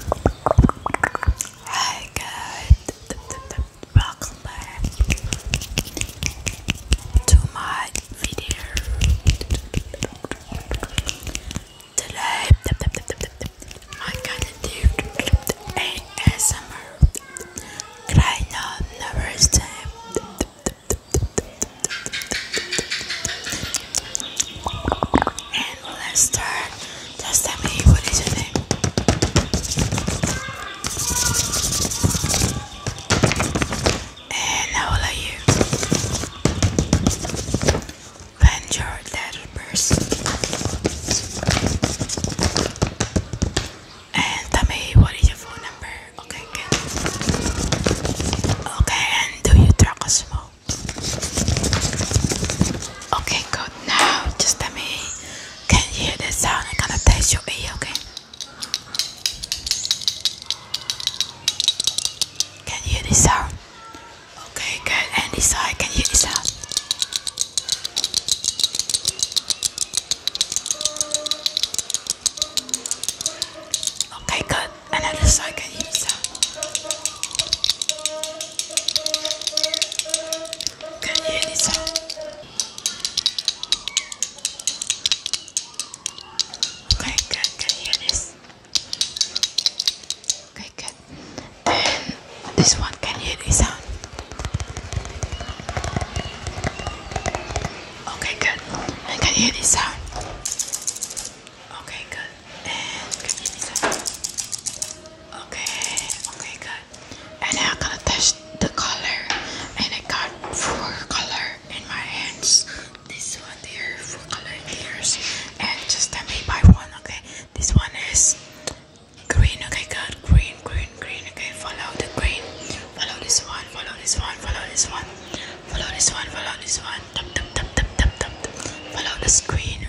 Hi guys, welcome back to my video. Today, my kind of dude ASMR. Cry not never time and let's start. Just tell me what is your name? And how are you? When your dad And tell me what is your phone number? Okay, good. Okay, and do you talk a small? Okay, good. Now, just let me. Can you hear the sound? I'm gonna test your ear, okay? Can you hear this sound? Okay, good. And this side, can you hear this sound? Okay, good. Another side, can you hear this sound? Can you hear this Okay, good. Can you hear this? Okay, good. And this one, can hear this sound? Okay, good. And can hear this sound? Okay, good. And okay, okay, good. And now I'm gonna test the color. And I got four color in my hands. This one here, four color in yours. And just tell me by one, okay? This one is green, okay, good. Green, green, green, okay. Follow the green. Follow this one, follow this one, follow this one. Follow this one, follow this one. Tap, tap, tap, tap, tap, tap. Follow the screen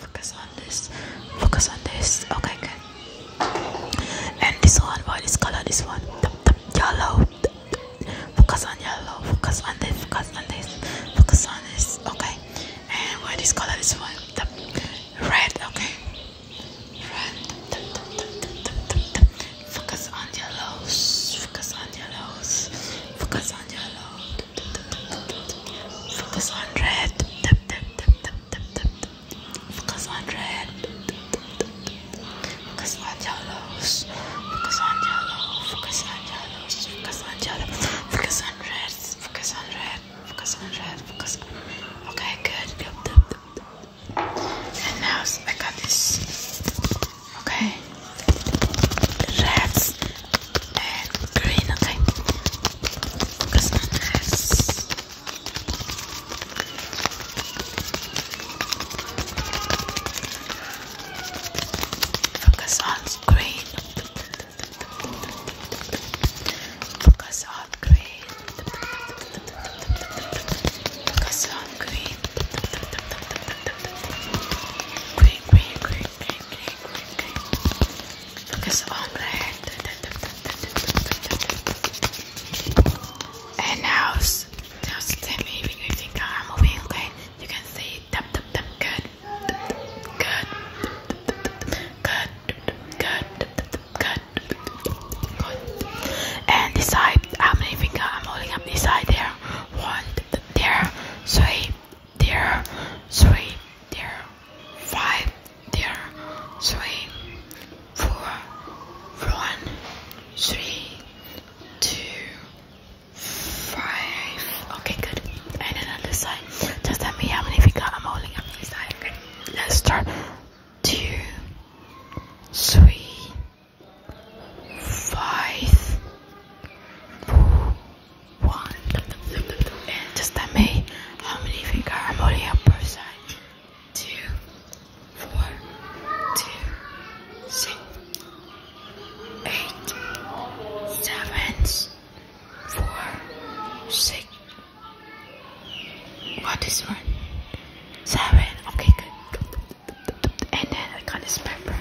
Focus on this. Focus on this. Okay, good. And this one, what is color? This one, yellow. Focus on yellow. Focus on this. Focus on this. Focus on this. Okay. And what is color? This one, red. Okay. Red. Focus on yellows. Focus on yellows. Focus on yellow. Focus on red. Focus on red. Focus on yellows. Focus on yellow. Focus on yellows. Focus on yellow. Focus on reds. Focus on red. Focus on red. Focus Okay, good. And now I got this. Okay. Reds and green. Okay. Focus on this. Focus on green. Focus on green, green, green, green, green, green que so And now, now Timmy, if you think I'm moving, okay, you can say tap tap tap. Good, good, good, good, good, good. And this side, I'm leaving. I'm holding up this side there. One, there, three, there, three, there, five, there three, four, one, three, two, five. Okay, good. And then on the side, just tell me how many fingers I'm holding up this side. Okay, let's start. Two, three, five, four, one. And just tell me how many finger harmony on both sides? Two, four, two, six, eight, seven, four, six. What is one? Seven. Okay, good. And then I got this pepper.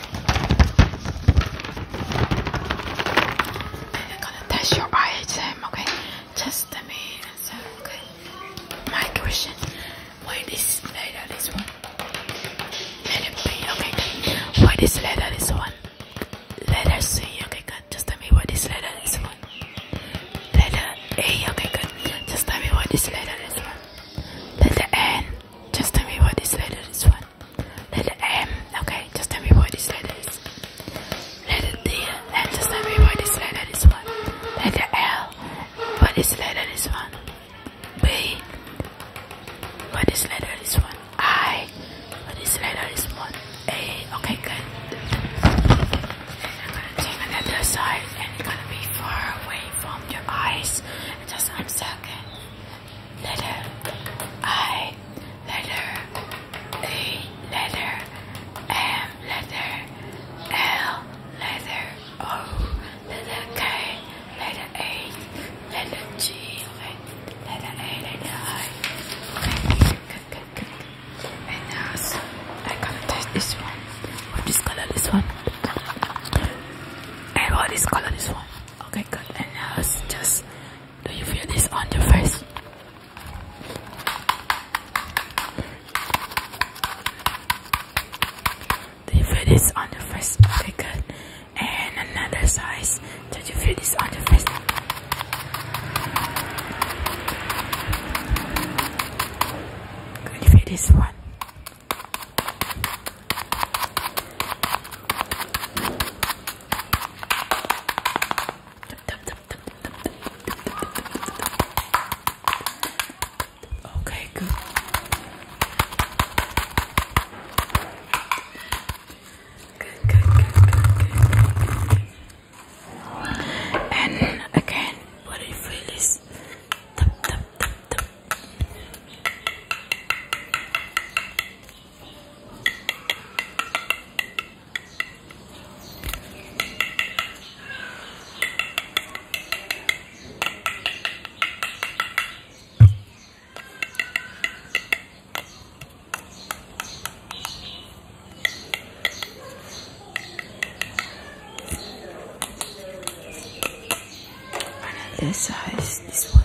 I'm gonna test your eye okay? Just the main okay? My question, why this letter this one? Letter B, okay, Why this letter this one? Letter C, okay, Just tell me why this letter is one. Letter A, okay, Just tell me why this letter this one. Letter N, just tell me why this letter this one. Letter M. Um, okay, just tell me what this letter is. Letter D. And just tell me what this letter is one. Letter L. What is this letter is one. B. What is this letter is one. I. What is this letter is one. A. Okay, good. And i gonna take another side, and it's gonna be far away from your eyes. Just one second letter I, letter A, letter M, letter L, letter O, letter K, letter A, letter G, letter A, letter I. Okay, good, good, good. And now, so I can touch this one. What is color this one? And what is color this one? Okay, good. And now, just do you feel this on your face? Do you feel this on your face? Okay, And another size. Did you feel this on your face? Can you feel this one? Okay, good. Good, good, good, And again, what I feel is this size, this one.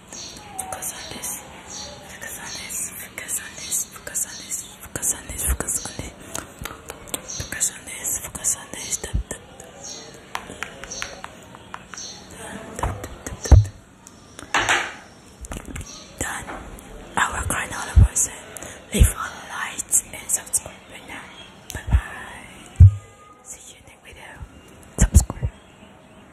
Focus on this. Focus on this. Focus on this. Focus on this. Focus on this. Focus on this. Focus on this. Focus on this. Tap tap. Tap tap tap Done. Our granola person. Leave all the lights and subscribe right now. Bye bye. See you in the next video. Subscribe.